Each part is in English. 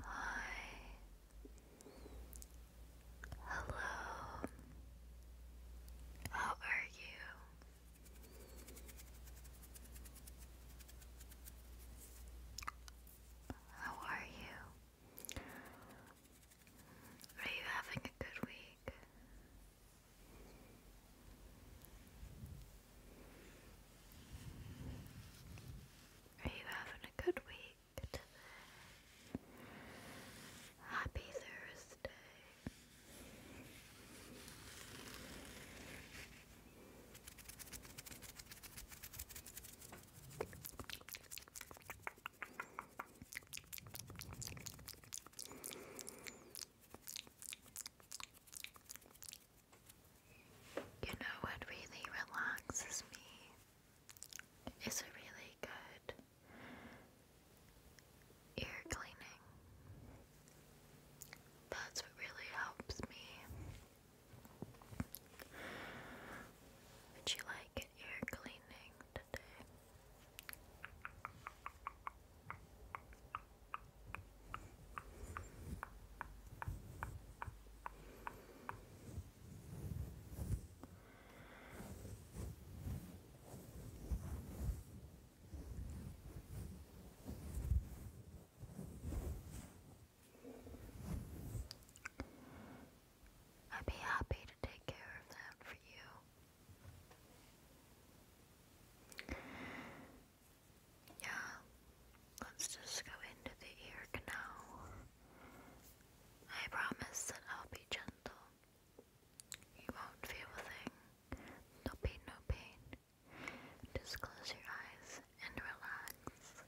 Hi. Hello. How are you? How are you? Are you having a good week? Are you having a good week Happy Thursday. You know what really relaxes me is a really good ear cleaning. That's what really helps me. Would you like an ear cleaning today? I'd be happy to take care of that for you. Yeah, let's just go into the ear canal. I promise that I'll be gentle. You won't feel a thing. There'll be no pain. Just close your eyes and relax.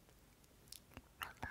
Relax.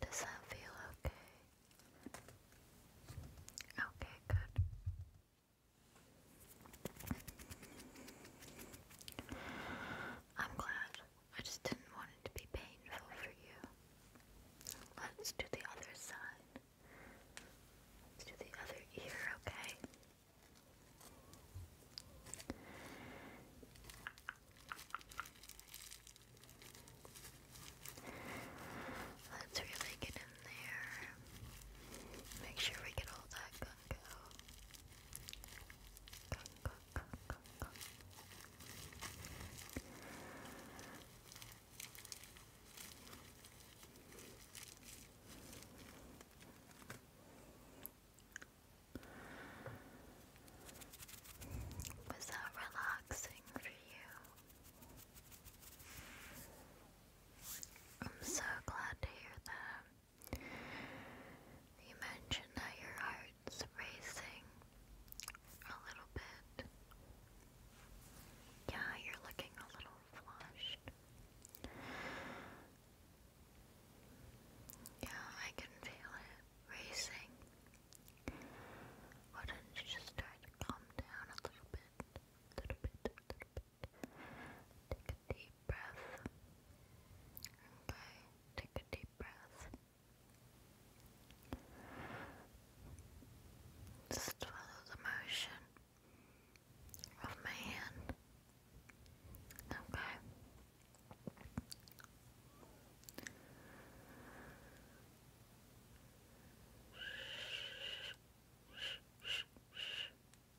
Does that feel okay? Okay, good. I'm glad. I just didn't want it to be painful for you. Let's do the other side. Let's do the other ear, okay? Let's really get in there. Make sure we get all that gunk out. Gunk, gunk, gunk, gunk, was that relaxing for you? I'm so glad to hear that. You mentioned that your heart's racing a little bit. Yeah, you're looking a little flushed. Yeah, I can feel it racing. Why don't you just try to calm down a little bit? little bit, little bit. Take a deep breath. Okay, take a deep breath. Just follow the motion of my hand. Okay.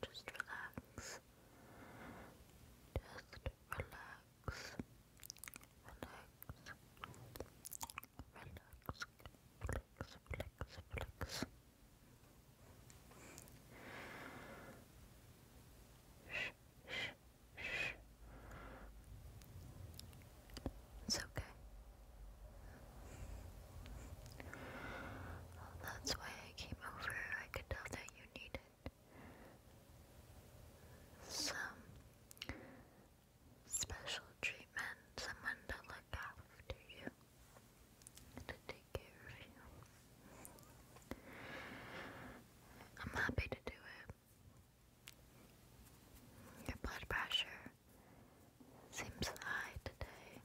Just relax. Just relax. Relax. It's okay. that's why I came over. I could tell that you needed some special treatment, someone to look after you to take care of you. I'm happy to do it. Your blood pressure seems high today.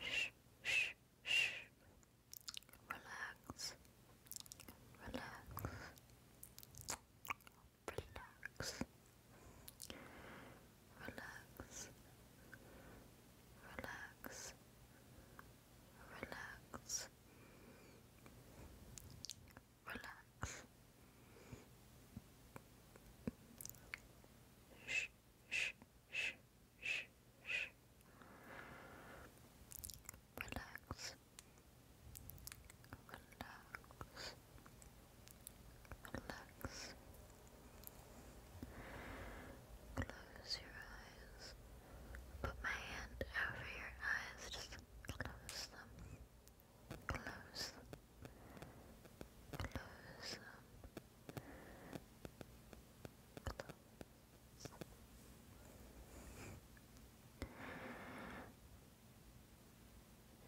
Shh, shh, shh relax, relax, relax, relax, relax, relax. Relax. Shh shh, shh, shh, shh. Relax. Relax. Relax. Close your eyes. Put my hand over your eyes. Just close them. Close them. Close them. Shh, shh,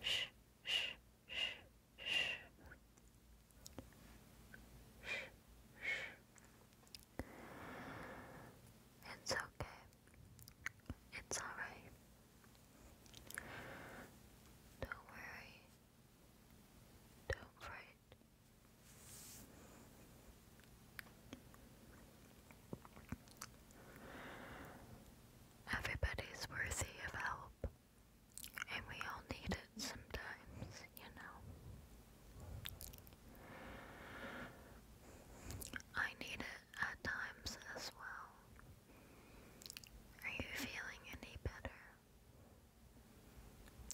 shh, shh. Shh, shh. It's okay. It's alright. Don't worry. Don't fret. Everybody's worthy of help, and we all need it sometimes, you know. I need it at times as well. Are you feeling any better?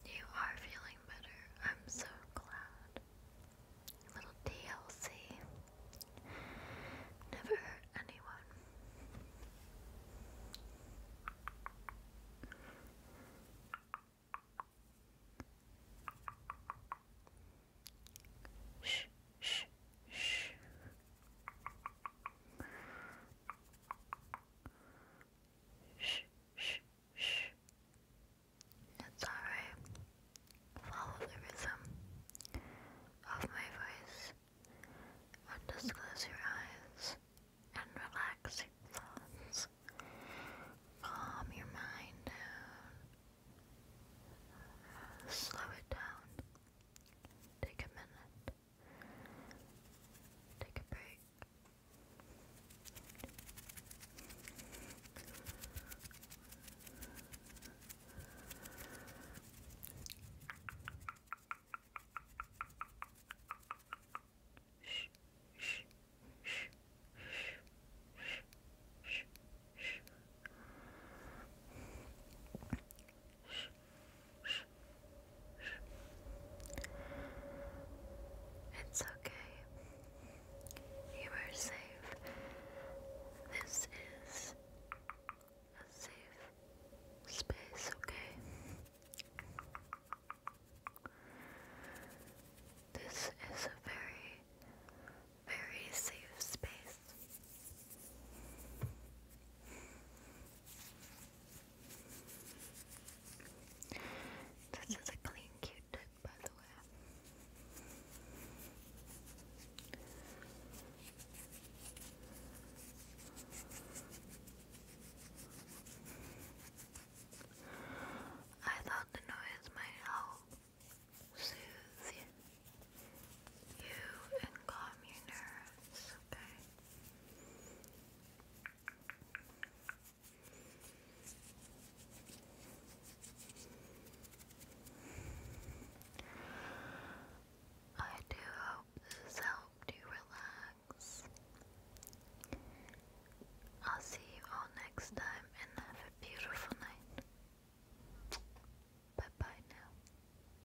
You are feeling better. I'm so glad. little DLC. Never hurt anyone. Shh, shh, shh. Shh, shh, shh. It's alright. Follow the rhythm of my voice. And just close your eyes and relax your thoughts. Calm your mind down. Slow it down. Take a minute. Take a break. Shh, shh, shh, shh, shh, shh, shh. It's okay. You are safe. This is a safe space, okay? This is a very, very safe space. This is a clean cute by the way. I thought the noise might help soothe you and calm your nerves, okay? I do hope this helped you relax. I'll see you all next time and have a beautiful night. Bye bye now.